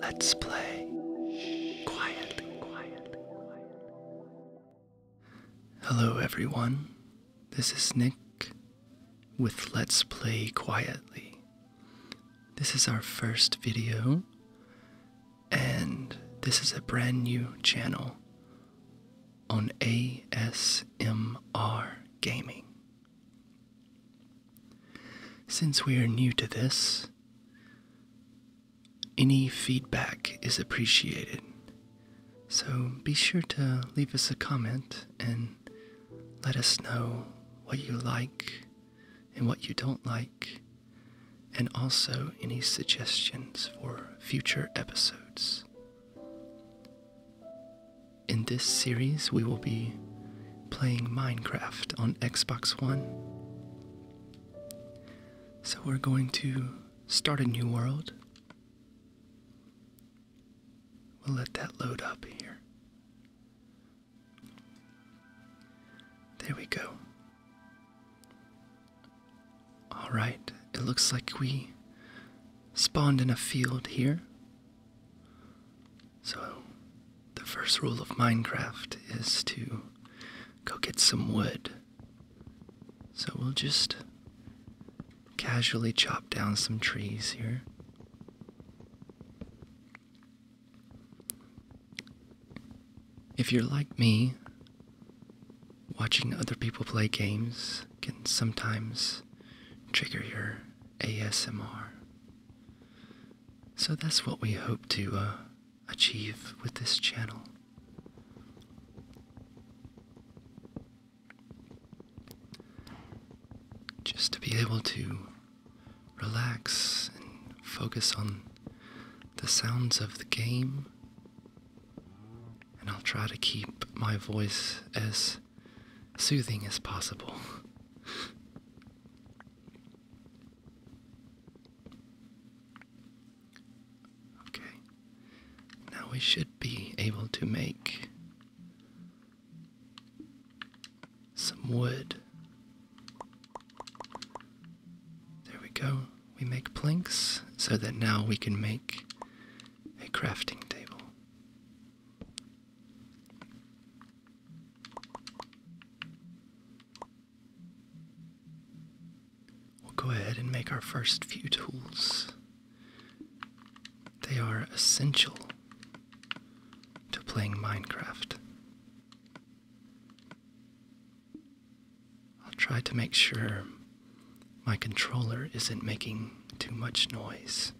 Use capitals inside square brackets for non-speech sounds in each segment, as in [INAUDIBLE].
Let's play quietly, Hello, everyone. This is Nick with Let's Play Quietly. This is our first video, and this is a brand new channel on ASMR Gaming. Since we are new to this, any feedback is appreciated. So be sure to leave us a comment and let us know what you like and what you don't like, and also any suggestions for future episodes. In this series, we will be playing Minecraft on Xbox One. So we're going to start a new world. We'll let that load up here. There we go. Alright, it looks like we spawned in a field here. So, the first rule of Minecraft is to go get some wood. So, we'll just casually chop down some trees here. If you're like me, watching other people play games can sometimes trigger your ASMR. So that's what we hope to uh, achieve with this channel. Just to be able to relax and focus on the sounds of the game, and I'll try to keep my voice as soothing as possible. [LAUGHS] Okay, now we should be able to make some wood. There we go. We make planks so that now we can make a crafting table. We'll go ahead and make our first few tools. They are essential to playing Minecraft. I'll try to make sure my controller isn't making too much noise.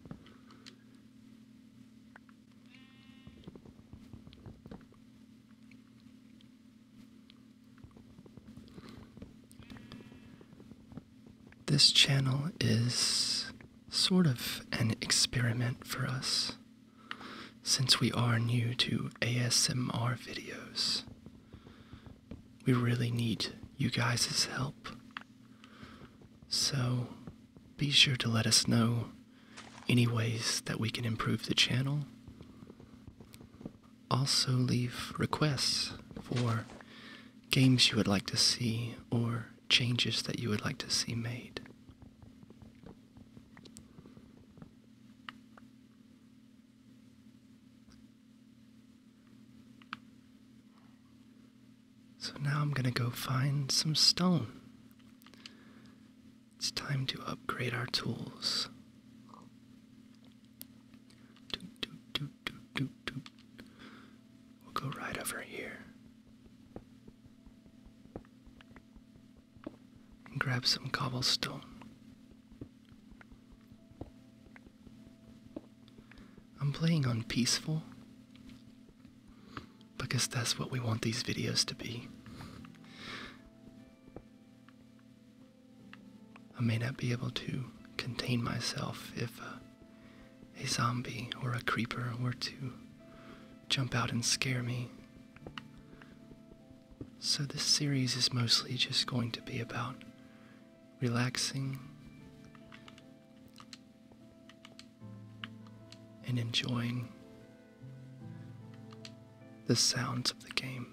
This channel is sort of an experiment for us since we are new to ASMR videos. We really need you guys' help. So be sure to let us know any ways that we can improve the channel. Also, leave requests for games you would like to see or changes that you would like to see made. So now I'm gonna go find some stone. It's time to upgrade our tools. We'll go right over here. And grab some cobblestone. I'm playing on peaceful because that's what we want these videos to be. I may not be able to contain myself if a, zombie or a creeper were to jump out and scare me. So, this series is mostly just going to be about relaxing and enjoying the sounds of the game.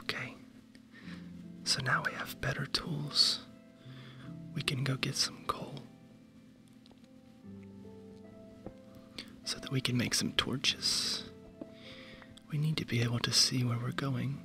Okay? So now we have better tools. We can go get some coal so that we can make some torches. We need to be able to see where we're going.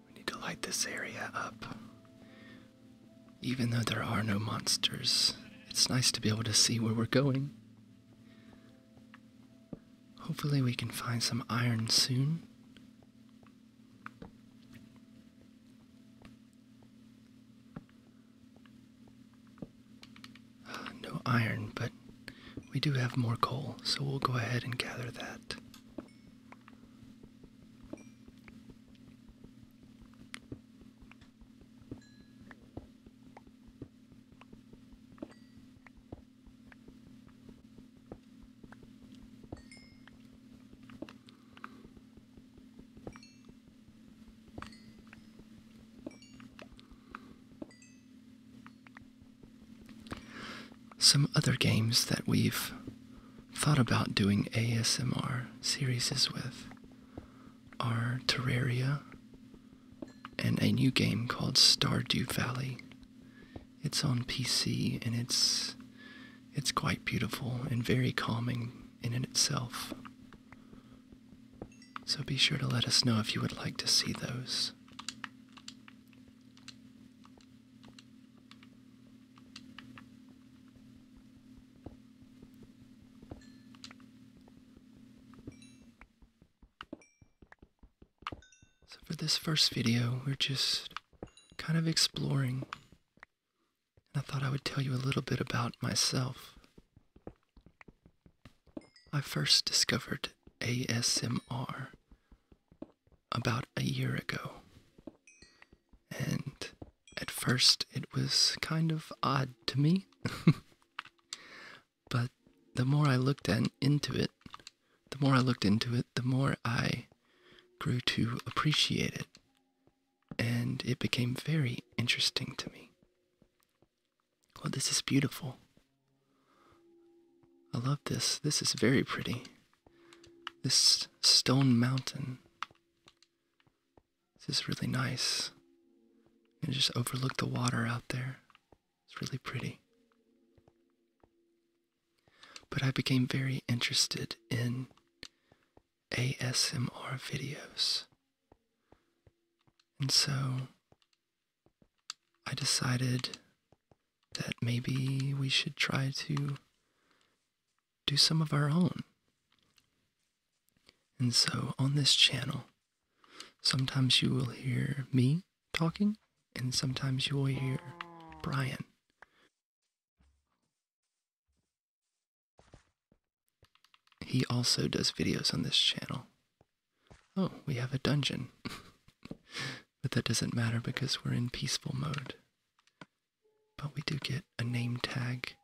We need to light this area up. Even though there are no monsters, it's nice to be able to see where we're going. Hopefully, we can find some iron soon. [SIGHS] no iron, but we do have more coal, so we'll go ahead and gather that. Some other games that we've thought about doing ASMR series with our Terraria and a new game called Stardew Valley. It's on PC and it's it's quite beautiful and very calming in it itself. So be sure to let us know if you would like to see those. So for this first video, we're just kind of exploring. And I thought I would tell you a little bit about myself. I first discovered ASMR about a year ago. And at first, it was kind of odd to me. [LAUGHS] but the more I looked into it, the more I looked into it, the more I grew to appreciate it. And it became very interesting to me. Well, this is beautiful. I love this. This is very pretty. This stone mountain. This is really nice. And just overlook the water out there. It's really pretty. But I became very interested in ASMR videos. And so I decided that maybe we should try to do some of our own. And so on this channel, sometimes you will hear me talking, and sometimes you will hear Brian. He also does videos on this channel. Oh, we have a dungeon. [LAUGHS] But that doesn't matter because we're in peaceful mode. But we do get a name tag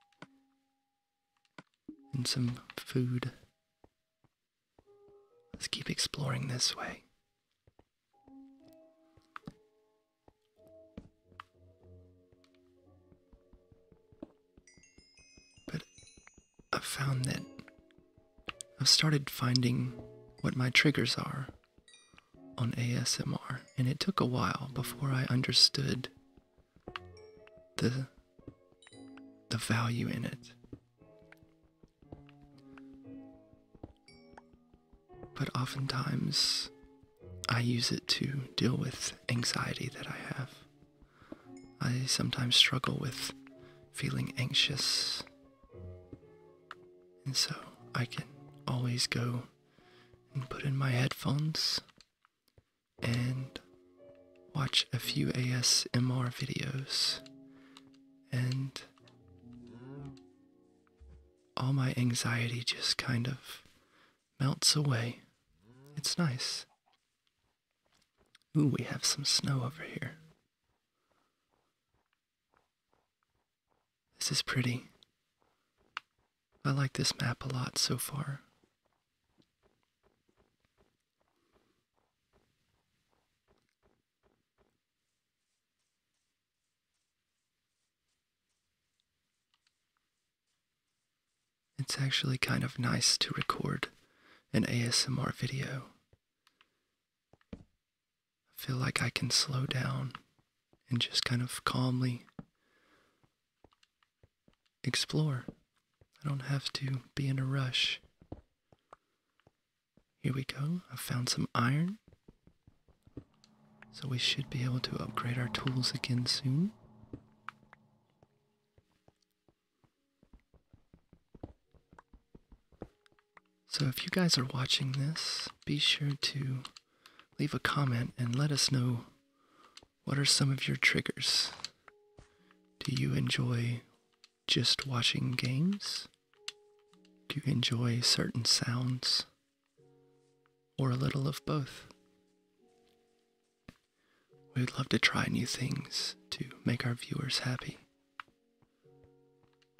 and some food. Let's keep exploring this way. But I've found that I've started finding what my triggers are on ASMR, and it took a while before I understood the the value in it. But oftentimes I use it to deal with anxiety that I have. I sometimes struggle with feeling anxious and so I can always go and put in my headphones and watch a few ASMR videos, and all my anxiety just kind of melts away. It's nice. Ooh, we have some snow over here. This is pretty. I like this map a lot so far. It's actually kind of nice to record an ASMR video I feel like I can slow down and just kind of calmly explore. I don't have to be in a rush. Here we go. I found some iron. So we should be able to upgrade our tools again soon. So, if you guys are watching this, be sure to leave a comment and let us know what are some of your triggers. Do you enjoy just watching games? Do you enjoy certain sounds? Or a little of both? We'd love to try new things to make our viewers happy.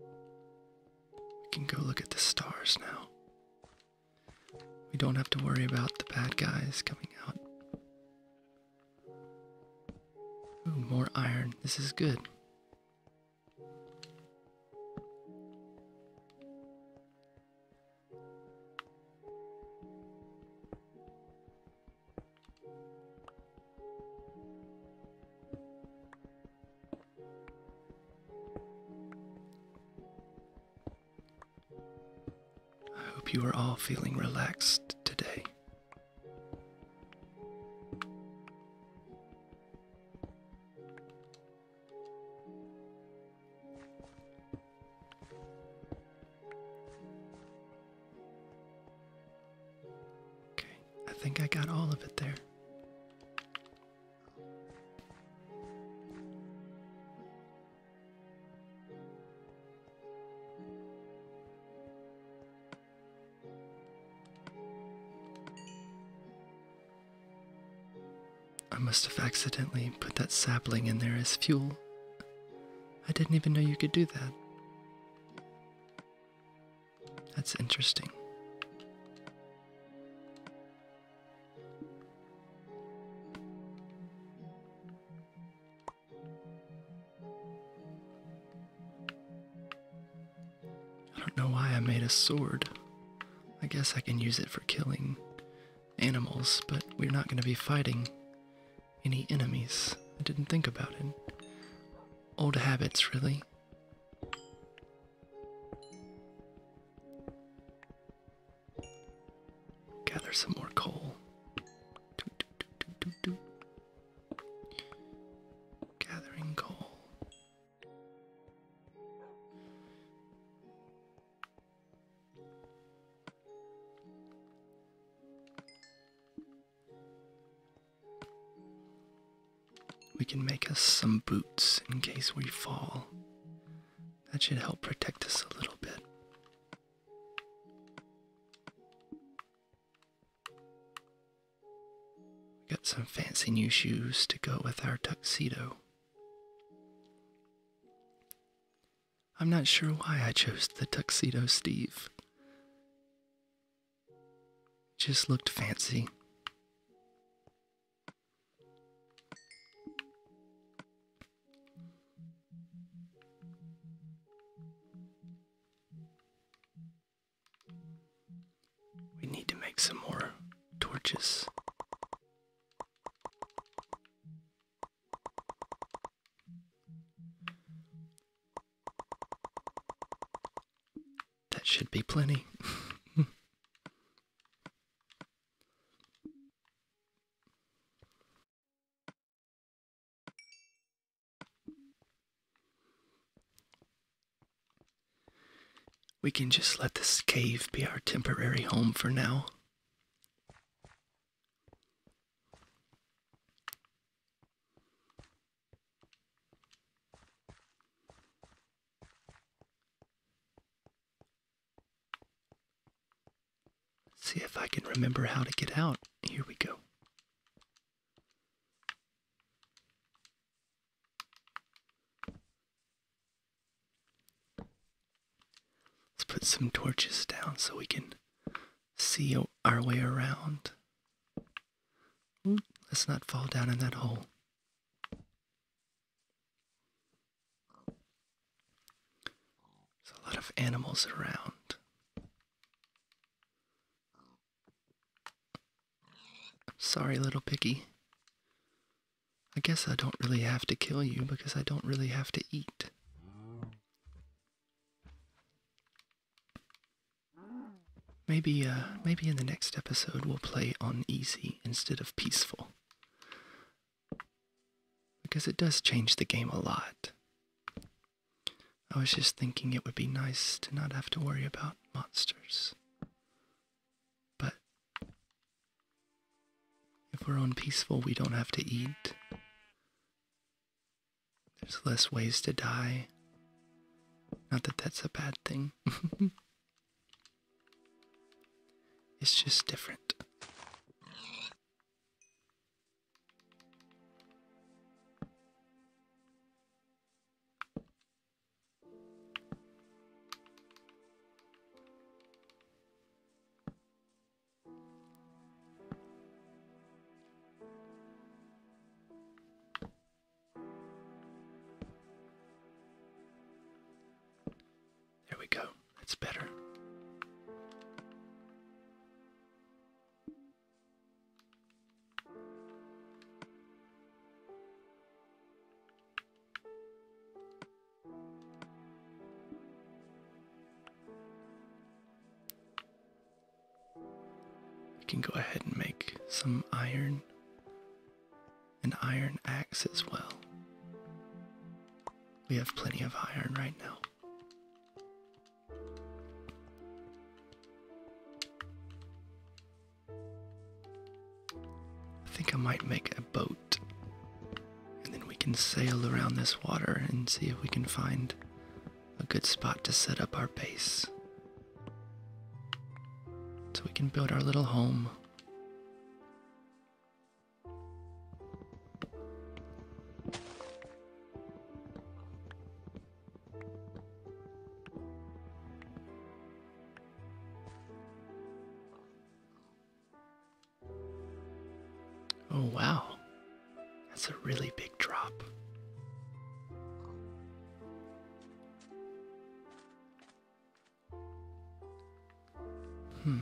We can go look at the stars now. We don't have to worry about the bad guys coming out. Ooh, more iron. This is good. I hope you are all feeling relaxed today. Okay, I think I got all of it there. I must have accidentally put that sapling in there as fuel. I didn't even know you could do that. That's interesting. I don't know why I made a sword. I guess I can use it for killing animals, but we're not going to be fighting any enemies. I didn't think about it old habits, really. Gather some more coal. Gathering coal. We can make us some boots in case we fall. That should help protect us a little bit. We got some fancy new shoes to go with our tuxedo. I'm not sure why I chose the tuxedo Steve. Just looked fancy. We need to make some more torches. That should be plenty. we can just let this cave be our temporary home for now. See if I can remember how to get out. Here we go. Let's put some torches down so we can see our way around. Let's not fall down in that hole. There's a lot of animals around. Sorry, little piggy. I guess I don't really have to kill you because I don't really have to eat. Maybe, uh, maybe in the next episode we'll play on easy instead of peaceful. Because it does change the game a lot. I was just thinking it would be nice to not have to worry about monsters. But if we're on peaceful, we don't have to eat. There's less ways to die. Not that that's a bad thing. [LAUGHS] it's just different. There we go. That's better. We can go ahead and make some iron, and iron axe as well. We have plenty of iron right now. I think I might make a boat and then we can sail around this water and see if we can find a good spot to set up our base. So we can build our little home. Oh, wow. That's a really big drop. Hmm.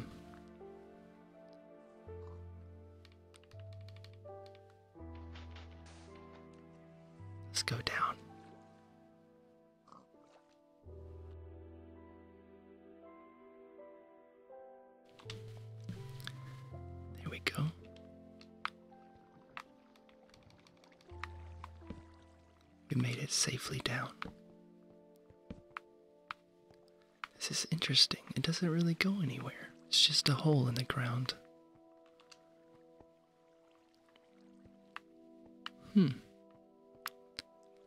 Let's go down. There we go. We made it safely down. This is interesting. It doesn't really go anywhere, it's just a hole in the ground. Hmm.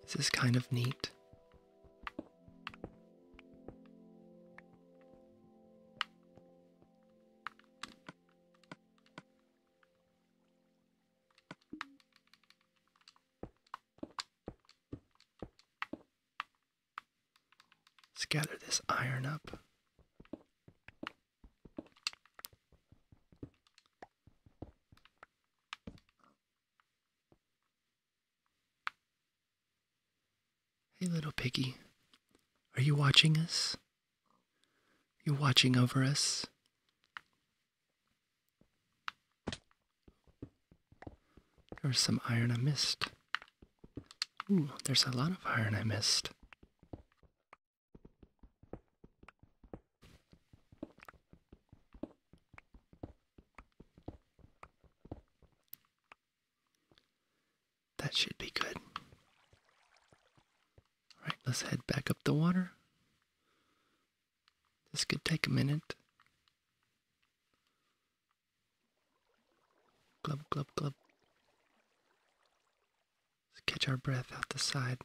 This is kind of neat. Scatter this iron up. Hey, little piggy, are you watching us? You are watching over us? There's some iron I missed. Ooh, there's a lot of iron I missed. That should be good. Alright, let's head back up the water. This could take a minute. Glub, glub, glub. Let's catch our breath out the side.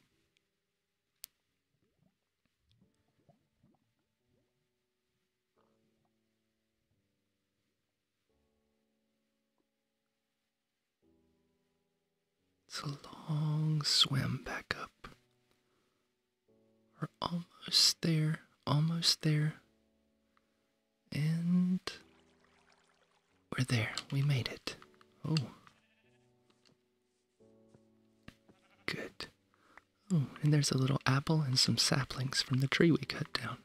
It's a long swim back up. We're almost there, almost there. And we're there. We made it. Oh. Good. Oh, and there's a little apple and some saplings from the tree we cut down.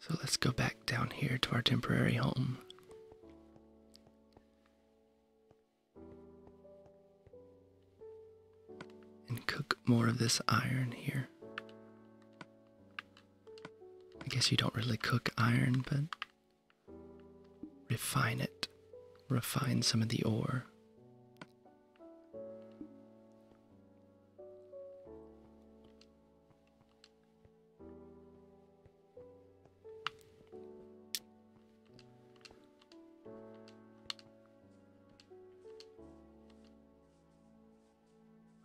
So let's go back down here to our temporary home. And cook more of this iron here. I guess you don't really cook iron, but refine it. Refine some of the ore.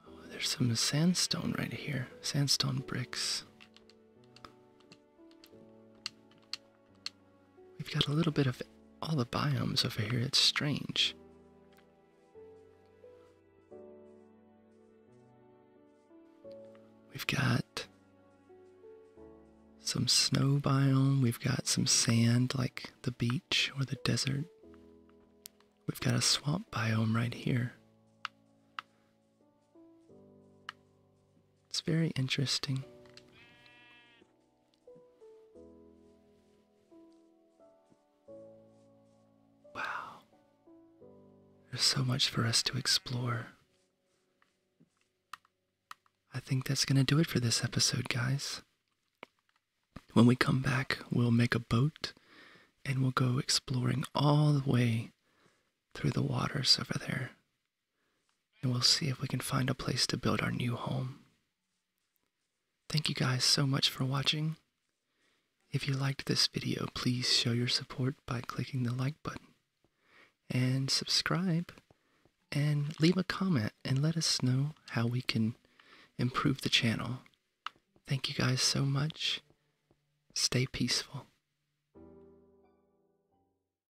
Oh, there's some sandstone right here. Sandstone bricks. We've got a little bit of all the biomes over here. It's strange. We've got some snow biome, we've got some sand like the beach or the desert. We've got a swamp biome right here. It's very interesting. Wow. There's so much for us to explore. I think that's going to do it for this episode, guys. When we come back, we'll make a boat and we'll go exploring all the way through the waters over there and we'll see if we can find a place to build our new home. Thank you guys so much for watching. If you liked this video, please show your support by clicking the like button and subscribe and leave a comment and let us know how we can improve the channel. Thank you guys so much. Stay peaceful.